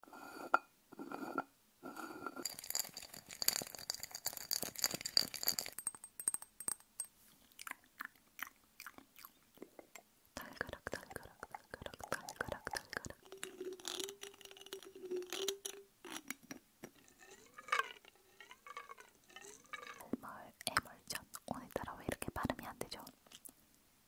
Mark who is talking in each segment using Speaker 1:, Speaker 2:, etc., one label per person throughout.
Speaker 1: 달그락 달그락 달그락 달그락 달그락 에멀 에멀전 오늘따라 왜 이렇게 발음이 안 되죠?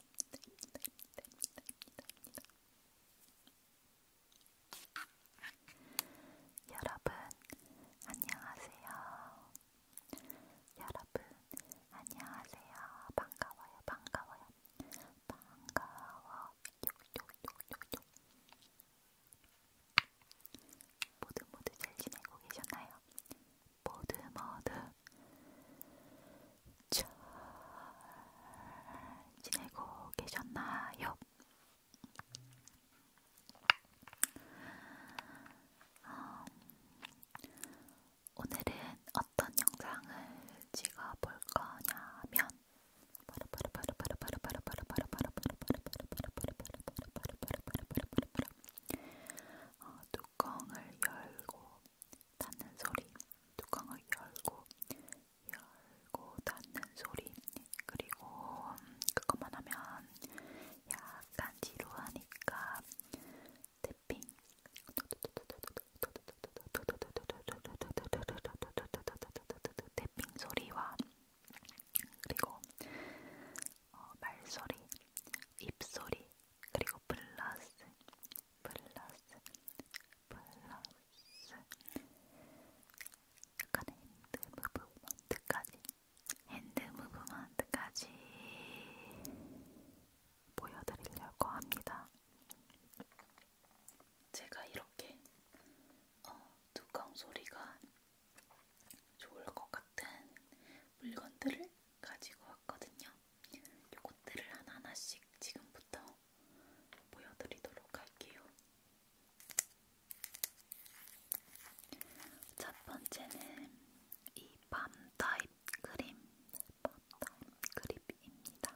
Speaker 1: 됩니다. 됩니다, 됩니다, 됩니다, 됩니다. 여러분 안녕하세요. 여러분 안녕하세요. 반가워요. 반가워요. 반가워. 욕욕욕욕욕. 모두 모두 잘 지내고 계셨나요? 모두 모두 잘 지내고 계셨나요? 음, 오늘은 어떤 영상을 찍어볼 거냐면 어, 뚜껑을 열고 닫는 소리, 뚜껑을 열고 열고 닫는 소리 그리고 음, 그것만 하면 약간 지루하니까 태핑 태핑 소리와 그리고 어, 말소리, 입소리, 그리고 플러스 플러스 플러스 약간 핸드 무브먼트까지 핸드 무브먼트까지 보여드리려고 합니다. 제가 이렇게 어, 뚜껑 소리가 좋을 것 같은 물건들을 가지고 왔거든요. 요것들을 하나하나씩 지금부터 보여드리도록 할게요. 첫 번째는 이 밤 타입 크림, 밤 타입 크림입니다.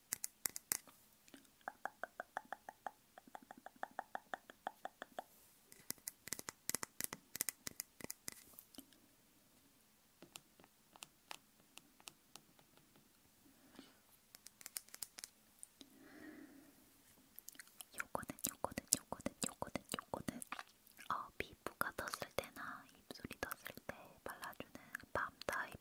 Speaker 1: 요거는 요거는 요거는 요거는 요거는 어, 피부가 떴을 때나 입술이 떴을 때 발라주는 밤 타입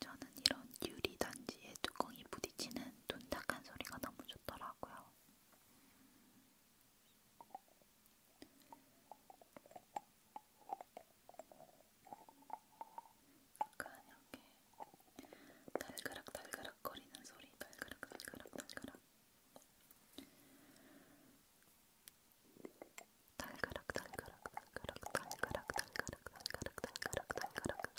Speaker 1: 저는 이런 유리 단지에 뚜껑이 부딪히는 둔탁한 소리가 너무 좋더라고요. 약간 이렇게 달그락 달그락 거리는 소리, 달그락 달그락 달그락. 달그락 달그락 달그락 달그락 달그락 달그락 달그락 달그락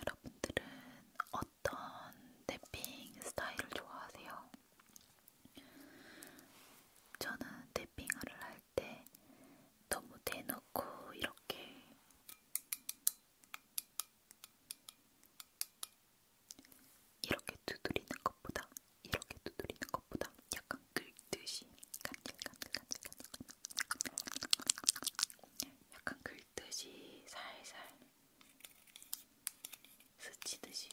Speaker 1: 여러분들은 어떤 탭핑 스타일을 좋아하세요? 저는 탭핑을 할 때 너무 대놓고 이렇게 이렇게 두드리는 것보다 이렇게 두드리는 것보다 약간 긁듯이 간질간질간질간질 약간 긁 물듯이 살살 스치듯이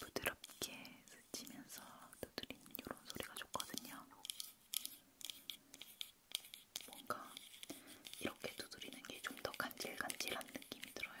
Speaker 1: 부드럽게 스치면서 두드리는 이런 소리가 좋거든요. 뭔가 이렇게 두드리는 게 좀 더 간질간질한 느낌이 들어요.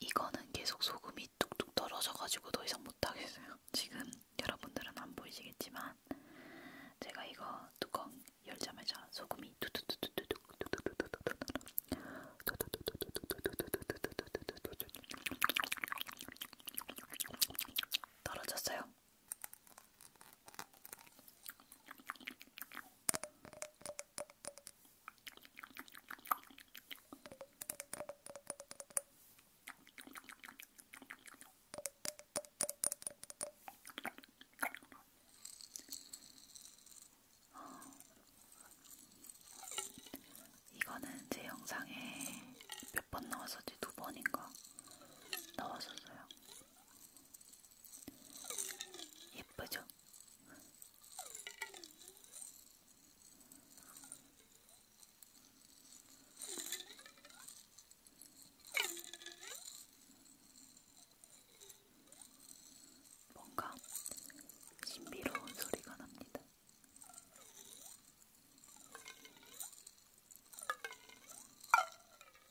Speaker 1: 이거는 계속 소금이 뚝뚝 떨어져가지고 더 이상 못하겠어요. 지금 여러분들은 안 보이시겠지만 제가 이거 뚜껑 열자마자 소금이 뚝뚝뚝뚝뚝뚝 떨어졌어요. 이거는 제 영상에 몇번 나왔었지? 두 번인가? 나왔었어요. 예쁘죠? 뭔가 신비로운 소리가 납니다.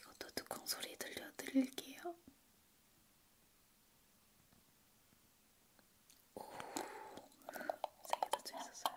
Speaker 1: 이것도 뚜껑 소리 들려드릴게요. 오, 세개 닫혀 있었어요.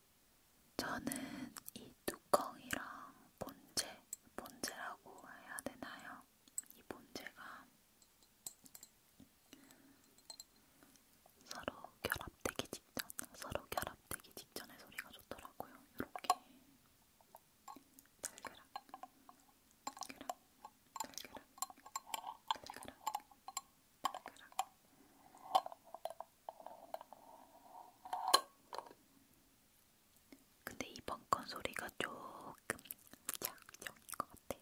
Speaker 1: 저는 이 뚜껑이랑 본체, 본체라고 해야 되나요? 이 본체가 서로 결합되기 직전, 서로 결합되기 직전의 소리가 좋더라고요. 이렇게 달그락, 달그락, 달그락, 달그락, 달그락. 근데 이번 건 소리가 조금 작정인 것 같아요.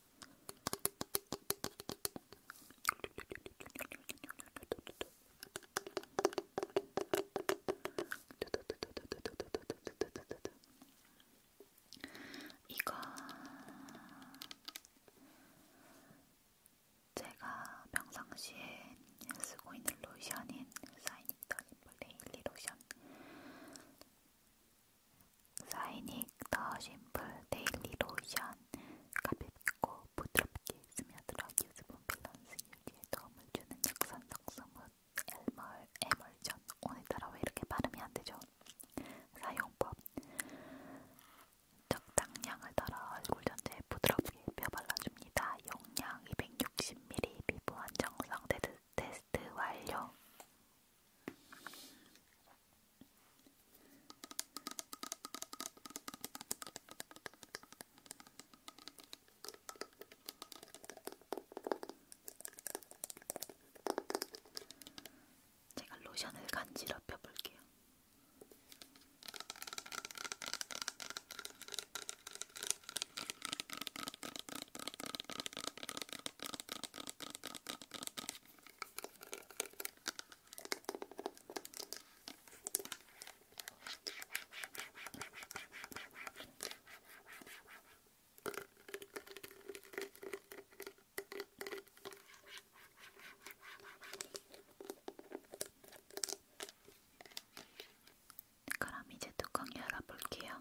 Speaker 1: 이거 제가 평상시에 쓰고 있는 로션인 사이닉 더니 블레일리 로션 사이닉 더 심플 데일리 로션 가볍고 부드럽게 스며들어 유수분 밸런스 유지에 도움을 주는 역산성 스무 엘멀 에멀전 오늘따라 왜 이렇게 발음이 안 되죠? 사용법 적당량을 덜어 얼굴 전체에 부드럽게 펴발라줍니다. 용량 260ml 피부 안정성 테스트 완료 제가 로션을 간지럽혀 볼게요. 그럼 이제 뚜껑 열어볼게요.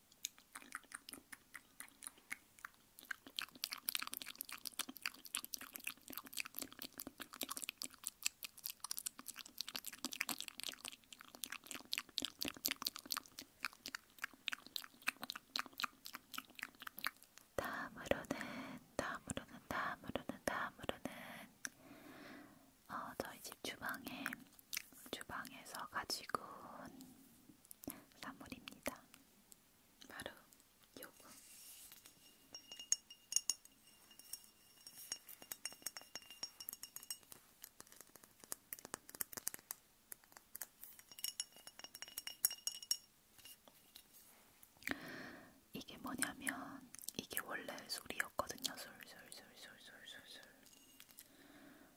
Speaker 1: 다음으로는 다음으로는 다음으로는 다음으로는 어, 저희 집 주방에 주방에서 가지고 온 선물입니다. 바로 요거. 이게 뭐냐면 이게 원래 술이었거든요. 술술술술술술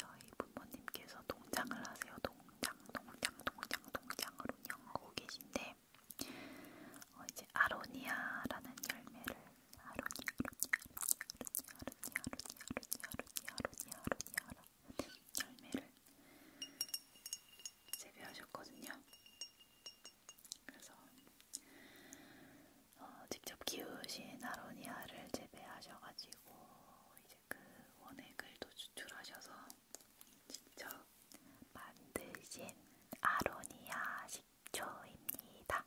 Speaker 1: 저희 부모님께서 농장을 하세요. 농장, 농장, 농장, 농장을 운영하고 계신데 어, 이제 아로니아라는 열매를 아로니아, 아로니아, 아로니아, 아로니아, 아로니아, 아로니아, 아로니아, 아로니아 열매를 재배하셨거든요. 그래서 어, 직접 키우신 아로니아를 재배하셔가지고 이제 그 원액을도 추출하셔서 직접 만드신 아로니아 식초입니다.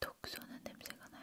Speaker 1: 톡 쏘는 냄새가 나요.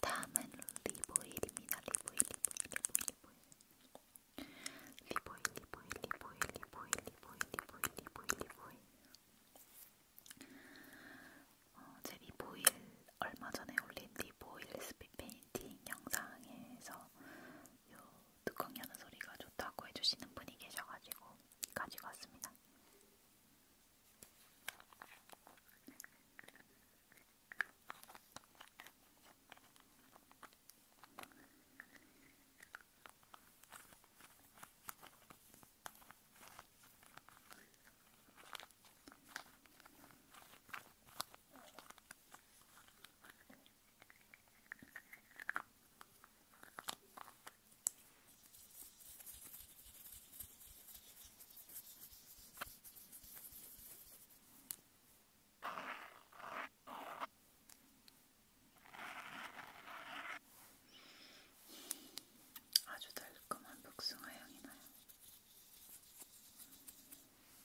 Speaker 1: 다음은 리보일입니다. 리보일, 리보일, 리보일, 리보일, 리보일, 리보일, 리보일, 리보일, 리보일. 어, 제 리보일 얼마 전에 올린 리보일 스피핑 미팅 영상에서 요 뚜껑 여는 소리가 좋다고 해주시는 분이 계셔가지고 가지고 왔습니다. 아주 달콤한 복숭아 향이 나요.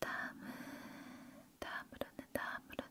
Speaker 1: 다음은 다음으로는 다음으로는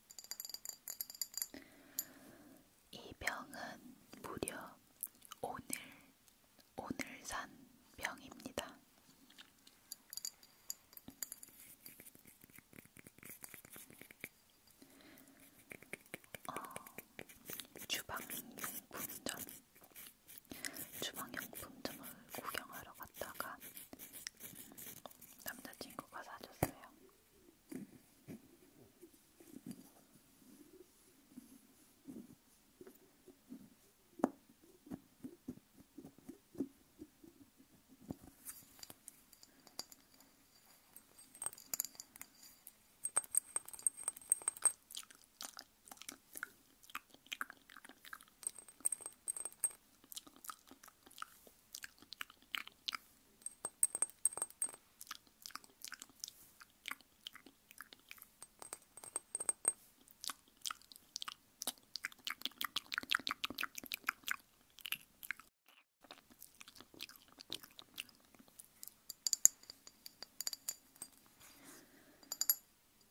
Speaker 1: 이 병은 무려 오늘 오늘 산 병입니다. 어, 주방용품점 주방용품점을 구경하러 갔다가 남자친구가 사줬어요.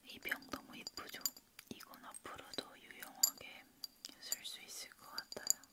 Speaker 1: 이병 너무 이쁘죠? 이건 앞으로도 유용하게 쓸 수 있을 것 같아요.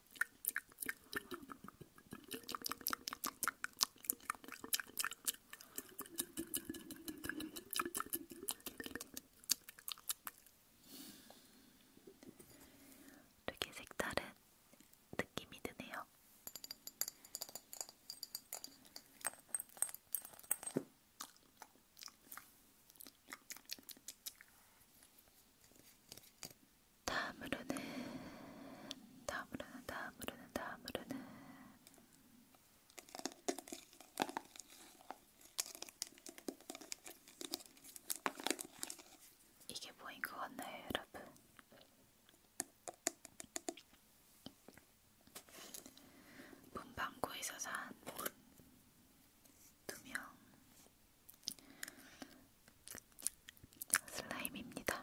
Speaker 1: 되게 색다른 느낌이 드네요. 다음으로는 다음으로는 다음으로는 다음으로는 이게 뭐인 것 같나요, 여러분? 문방구에서 산 두명 슬라임입니다.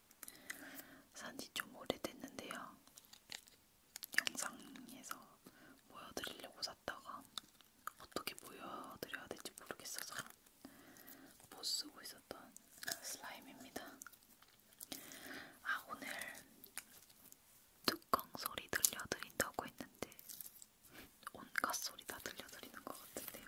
Speaker 1: 산지 좀 오래됐는데요. 영상에서 보여드리려고 샀다가 어떻게 보여드려야 될지 모르겠어서 못 쓰고 있었던 슬라임입니다. 아 오늘 뚜껑 소리 들려드린다고 했는데 온갖 소리 다 들려드리는 것 같은데요.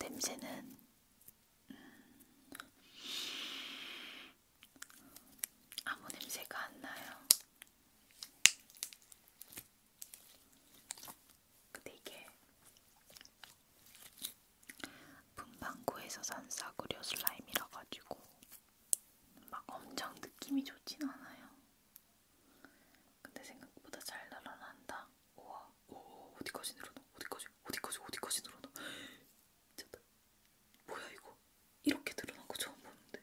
Speaker 1: 냄새는 음, 아무 냄새가 안 나요. 근데 이게 분방구에서 산 싸구려 슬라임이라 가지고 막 엄청 느낌이 좋진 않아요. 근데 생각보다 잘 날아난다. 우와, 오, 어디까지 늘어나? 어디까지? 어디까지? 어디까지 늘어나? 미쳤다. 뭐야 이거? 이렇게 늘어난 거 처음 보는데.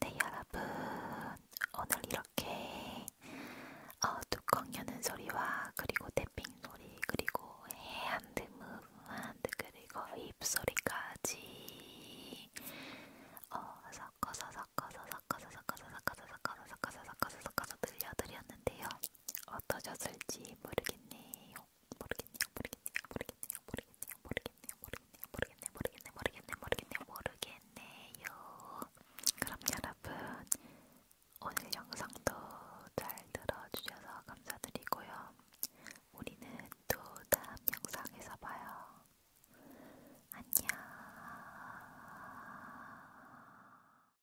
Speaker 1: 네, 여러분, 오늘 이렇게 어, 뚜껑 여는 소리와 그리고 태핑 소리 그리고 해안드 무브먼트 그리고 입소리까지 어, 섞어서 섞어서 섞어서 섞어서 섞어서 섞어서 섞어서 섞어서 섞어서 섞어서 들려드렸는데요. 어떠셨을지 모르겠네요. 모르겠네요. 모르겠네요. 모르겠네요. 모르겠네요. 모르겠네요. 모르겠네요. 모르겠네요. 모르겠네요. 모르겠네요. 모르겠네요. 모르겠네요. 그럼 여러분 오늘 영상도 잘 들어주셔서 감사드리고요. 우리는 또 다음 영상에서 봐요. 안녕.